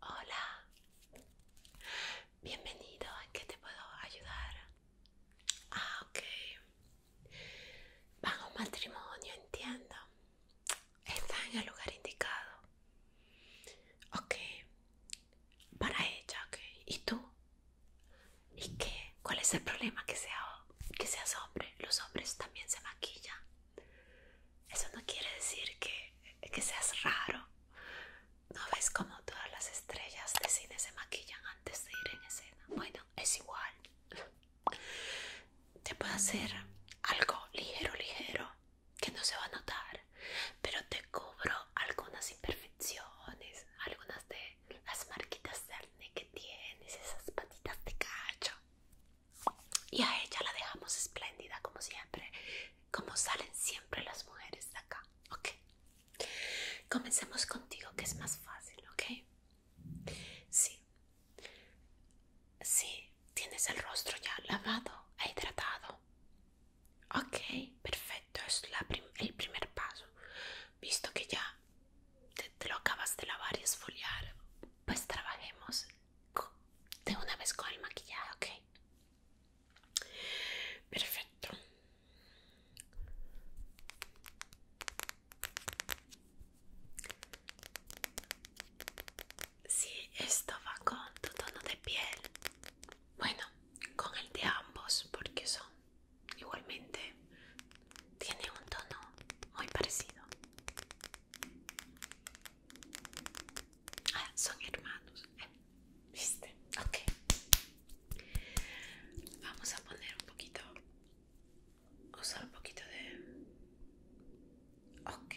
Hola, bienvenido. ¿En qué te puedo ayudar? Ah, ok. Van a un matrimonio, entiendo. Está en el lugar indicado. Okay para ella, ¿Y tú? ¿Y qué? ¿Cuál es el problema? Que, sea, que seas hombre. Los hombres también se maquillan. Eso no quiere decir que, que seas raro. ¿No ves como todas las estrellas de cine se maquillan antes de ir en escena? Bueno, es igual. Te puedo hacer algo ligero, ligero que no se va a notar, pero te cubro algunas imperfecciones, algunas de las marquitas de arne que tienes, esas patitas de cacho. Y a ella la dejamos espléndida como siempre, como salen siempre las mujeres de acá, ¿ok? Comencemos contigo que es más fácil, ¿ok? Sí, sí, Tienes el rostro ya lavado e hidratado. Ok, perfecto, es el primer paso. Visto que ya te, lo acabas de lavar y esfoliar, pues trabajemos de una vez con el maquillaje, ok. Perfecto si esto va con tu tono de piel, bueno, con el de ambos, porque son igualmente, tienen un tono muy parecido. Ah, son hermanos, ¿eh? ¿viste? Ok. Vamos a poner un poquito, usar un poquito de Ok.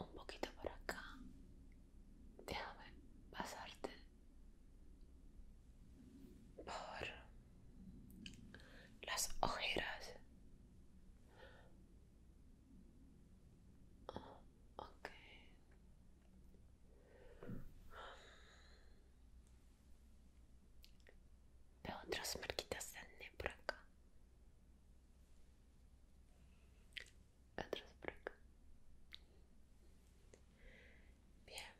Un poquito por acá. Déjame pasarte por las ojeras. ok. otras marquitas de acné acá. Otras por acá. Bien.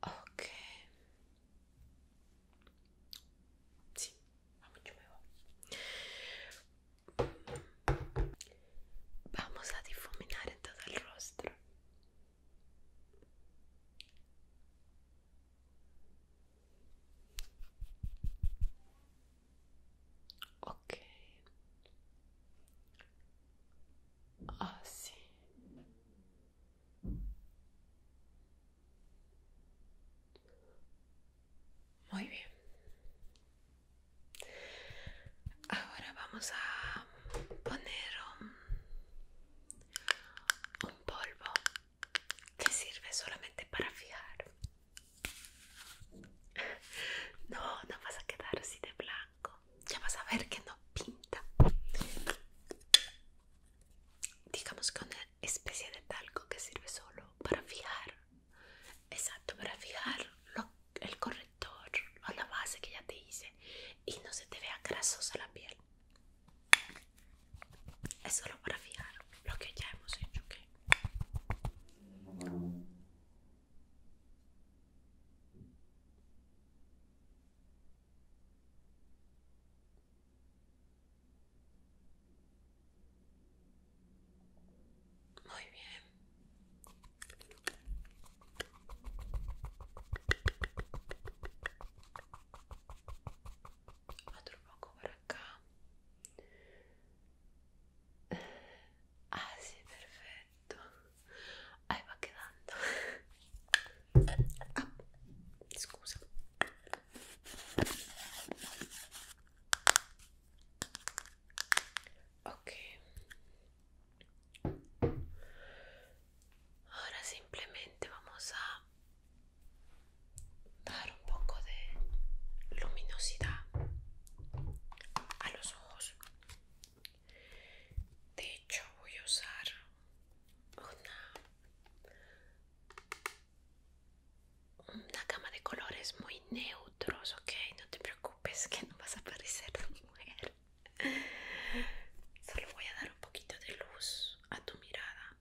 Ok. Sì, vamos a difuminar en todo el rostro. Ah sí. Muy bien. Ahora vamos a poner un, polvo que sirve solamente para fijar. No, no vas a quedar así de blanco. Ya vas a ver que no pinta. Digamos que una especie de talco que sirve solo para fijar. Exacto, para fijar el color a o la base que ya te hice y no se te vea grasosa la piel. Es solo para fijar lo que ya hemos hecho, Muy bien. Otro poco por acá. Ah, sí, perfecto. Ahí va quedando. Ah, excusa. Ahora simplemente vamos a dar un poco de luminosidad a los ojos. De hecho, voy a usar una, una gama de colores muy neutros, ok, no te preocupes preocupes que no vas a parecer mujer. Solo voy a dar un poquito de luz a tu mirada.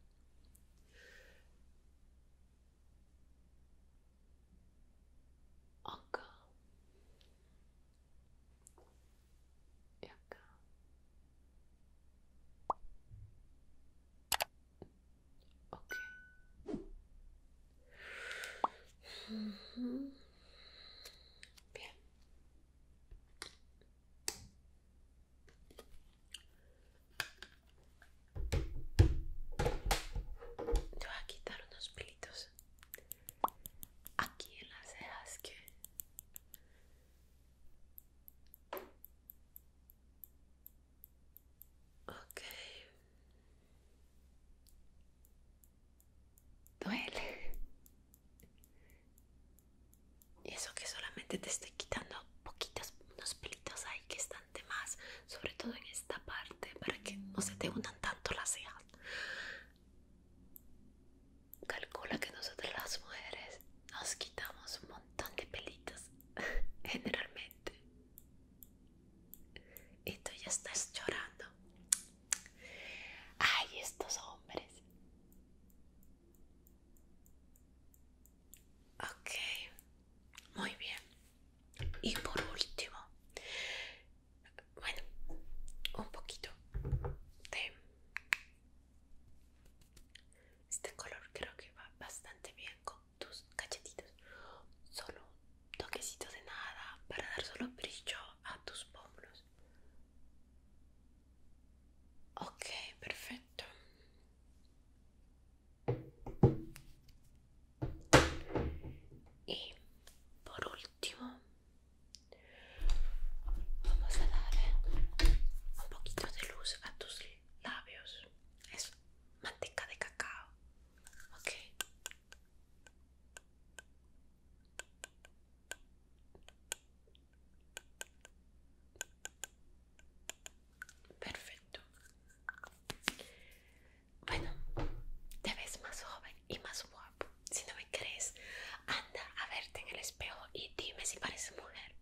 Acá. Y acá. Ok. Bien. Te voy a quitar unos pilitos aquí en las cejas que Ok. Duele. Y eso que solamente te estoy quitando poquitos, unos pelitos ahí que están de más, sobre todo en esta parte, para que no se te unan tanto las cejas. Calcula que nosotras las mujeres nos quitamos un montón de pelitos, generalmente. Y tú ya estás llorando. Ay, estos hombres. Ok, muy bien. Y por último, bueno, un poquito de este color creo que va bastante bien con tus cachetitos solo toquecitos de nada para dar solo brillo a tus pómulos ok perfecto y por último vamos a dar un poquito de luz a tus labios es manteca de cacao Ok. Perfecto. Bueno, te ves más joven y más guapo. Si no me crees, anda a verte en el espejo y dime si pareces mujer.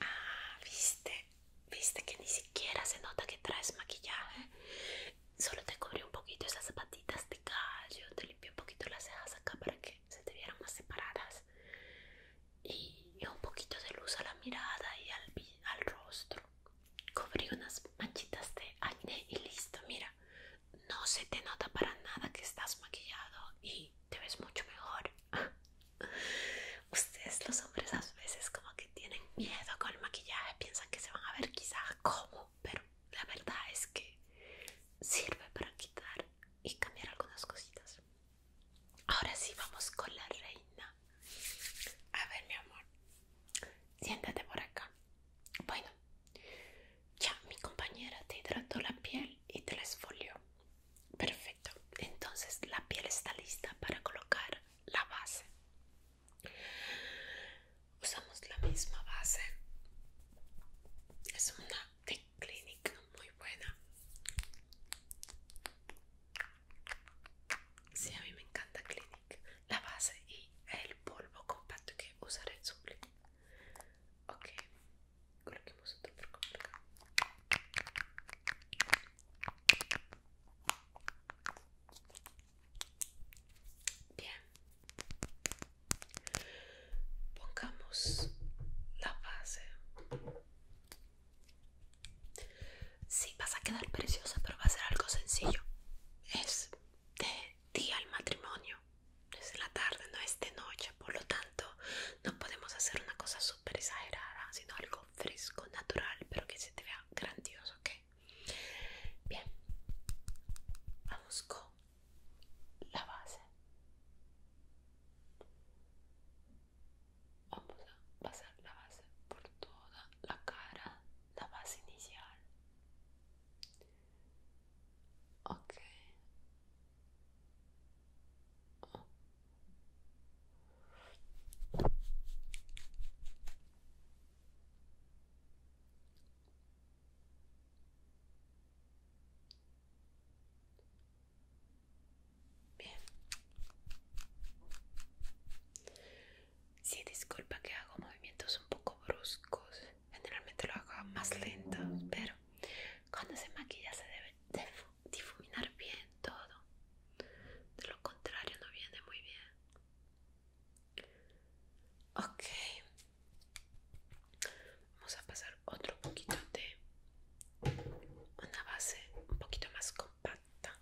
Ah, viste, Viste que ni siquiera se nota que traes maquillaje. Solo te cubrí un poquito esas zapatitas de callo te limpié un poquito las cejas acá para que se te vieran más separadas. Y, un poquito de luz a la mirada y al, al rostro. Cubrí unas manchitas de acné y listo, mira. No se te nota para nada que estás maquillado y te ves mucho mejor. Ustedes los hombres a veces como que tienen miedo con el maquillaje, piensan que se van a ver quizás como, pero la verdad es que sirve para quitar y cambiar algunas cositas. Ahora sí vamos con la reina. A ver mi amor, siéntate por acá. Bueno, ya mi compañera te hidrató la piel y te la esfolió. Perfecto, entonces la piel está lista para colocar la base usamos la misma base es una de Clinique, muy buena si a mí me encanta Clinique, la base y el polvo compacto que usaré en su sublime. Ok, coloquemos otro por complicado Bien. Pongamos la base. Sí, vas a quedar preciosa, pero va a ser algo sencillo. Es de día el matrimonio. Es en la tarde, no es de noche. Por lo tanto, no podemos hacer una cosa súper exagerada, sino algo fresco, natural, pero que se te vea grandioso, ¿ok? Bien, vamos con la base. Vamos a pasar la base por toda la cara, la base inicial. Ok, Bien. Sí, disculpa que hago movimientos un poco bruscos. Generalmente lo hago más lento, pero cuando se maquilla se debe de difuminar bien todo. De lo contrario no viene muy bien. Ok. Vamos a pasar otro poquito de una base un poquito más compacta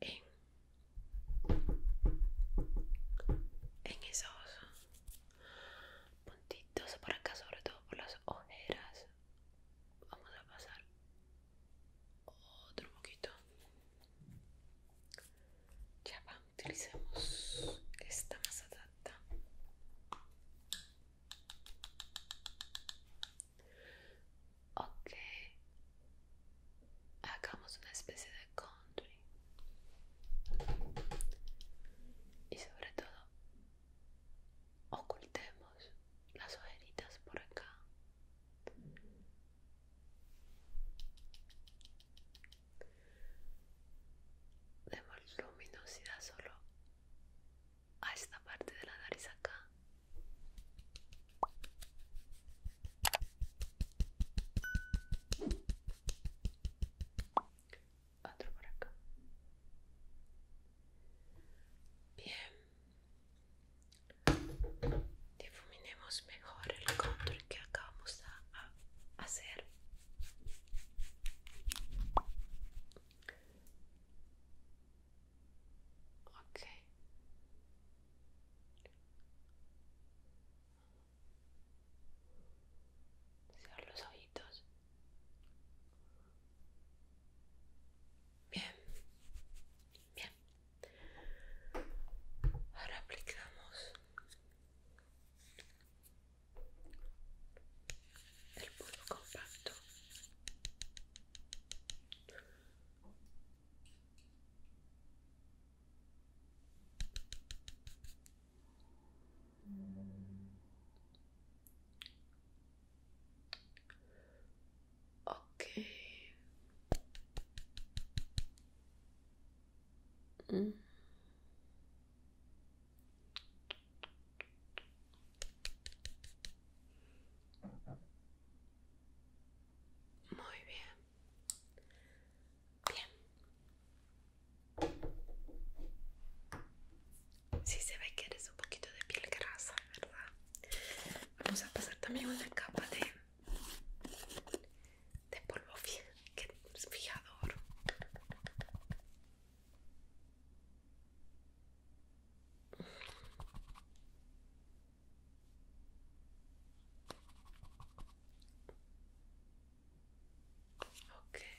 en, en esos puntitos por acá, sobre todo por las ojeras vamos a pasar otro poquito ya va utilicemos esta masa adaptada. ok hagamos una especie de country y sobre todo ocultemos las ojeritas por acá demos luminosidad solo a esta parte de la nariz acá otro por acá. Bien, difuminemos mejor el contour que acabamos de hacer. Ok. Cierro los ojitos. Bien, bien. Ahora aplicamos el polvo compacto. Okay. Mm. Muy bien. Bien si se ve que eres un poquito de piel grasa, ¿verdad? Vamos a pasar también una capa de, de polvo fijador. Okay.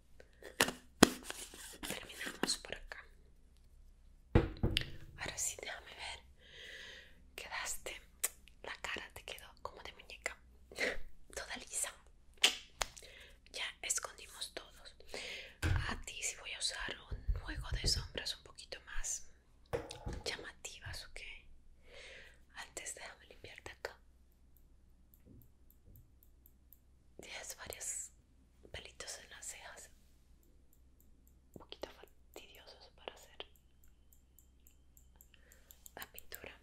terminamos por acá ahora sí déjame ver quedaste la cara te quedó como de muñeca toda lisa ya escondimos todos a ti si sí voy a usar un juego de sombras un poquito más llamativas ok antes déjame limpiarte acá Tienes varias pelitos en las cejas un poquito fastidiosos para hacer la pintura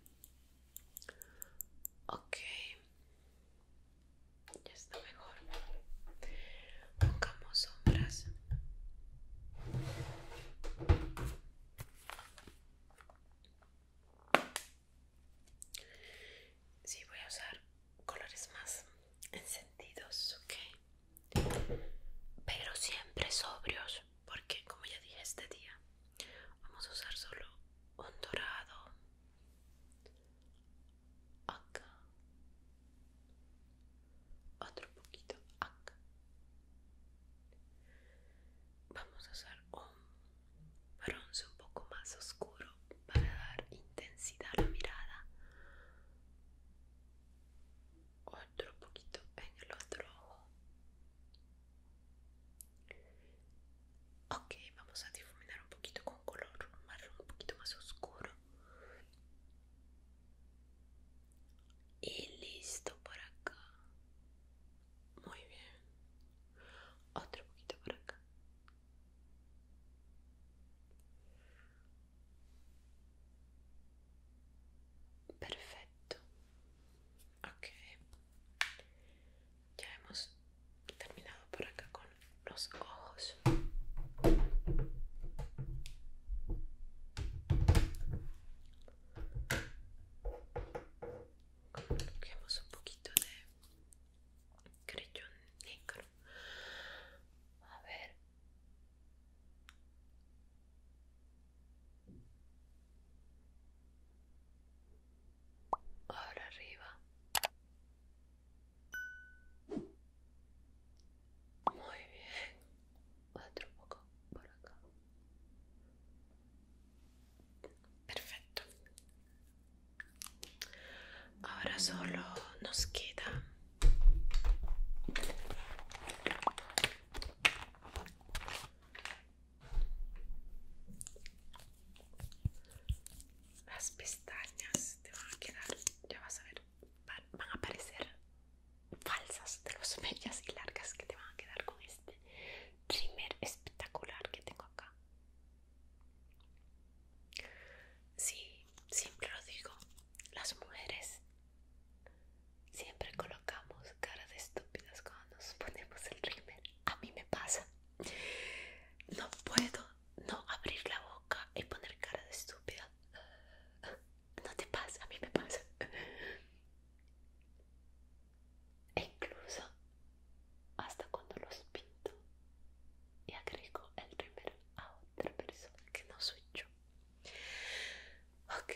ok ya está mejor pongamos sombras Sí, voy a usar colores más encendidos, ok. Pero siempre sobrios, porque como ya dije este día, vamos a usar solo un dorado. Acá. Otro poquito acá. Vamos a usar un bronce un poco más oscuro para dar intensidad a la mirada otro poquito en el otro ojo ok vamos a difuminar un poquito con color marrón un poquito más oscuro y listo por acá muy bien otro poquito por acá Perfecto. Ok. Ya hemos terminado por acá con los ojos. un poquito de Crillón negro a ver ahora arriba muy bien otro poco por acá Perfecto. Ahora solo nos queda las pestañas te van a quedar, ya vas a ver, van a parecer falsas de los medias y largas que te van a quedar con este primer espectacular que tengo acá Sí, siempre lo digo, las mujeres siempre colocamos caras de estúpidas cuando nos ponemos el rímel. A mí me pasa. No puedo no abrir la boca y poner cara de estúpida. No te pasa, a mí me pasa e incluso hasta cuando lo pinto y agrego el primer a otra persona que no soy yo. Ok,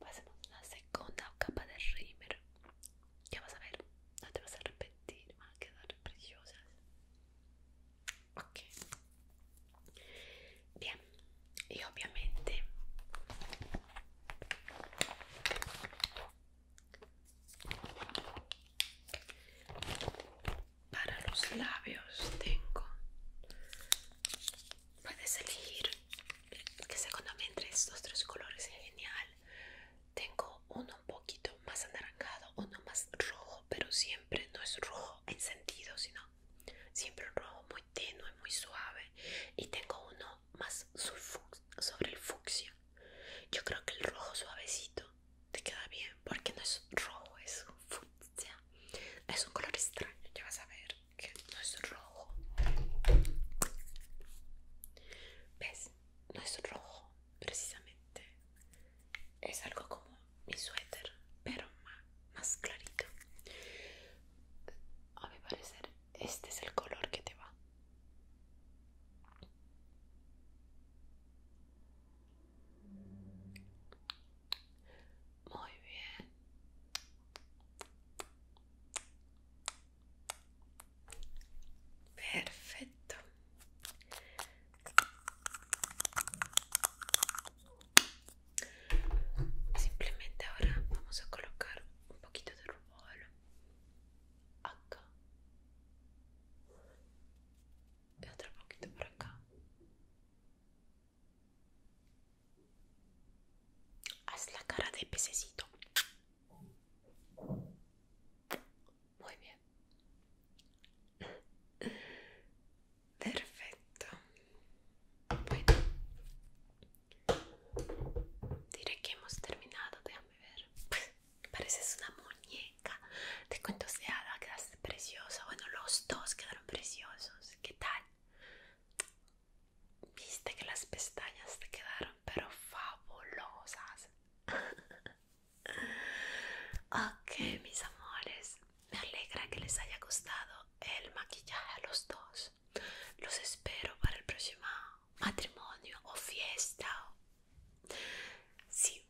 pasemos a la segunda capa de rímel. Ya vas a ver, no te vas a arrepentir, van a quedar Ok, bien, y obviamente para los labios tengo. Puedes elegir que se me entre estos tres colores, es genial. Tengo uno un poquito más anaranjado, uno más rojo, pero siempre no es rojo en sentido sino siempre un rojo muy tenue, muy suave. Y tengo uno más sobre el fucsia. Yo creo que el rojo suavecito te queda bien porque no es rojo, es un fucsia. Es un color extraño, ya vas a ver que no es rojo. ¿Ves? No es rojo, precisamente. Es algo como mi suéter, pero más, más clarito. A mi parecer este es el color que te va. Muy bien. Perfecto. Simplemente ahora vamos a colocar un poquito de rubor acá y otro poquito por acá haz la cara de pececito muy bien perfecto Diré que hemos terminado, déjame ver. Pues, pareces una muñeca. Te cuento, Seada, quedaste preciosa. Bueno, los dos quedaron preciosos. ¿Qué tal? Viste que las pestañas te quedaron, pero fabulosas. ok, mis amores. Me alegra que les haya gustado el maquillaje a los dos. Los espero para el próximo matrimonio o fiesta. Sí,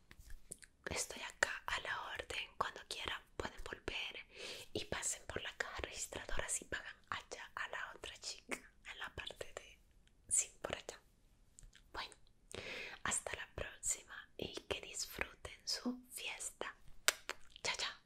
estoy acá a la orden. Cuando quieran pueden volver y pasen por la caja registradora si pagan allá a la otra chica en la parte de... Sí, por allá. Bueno, hasta la próxima y que disfruten su fiesta. Chao, chao.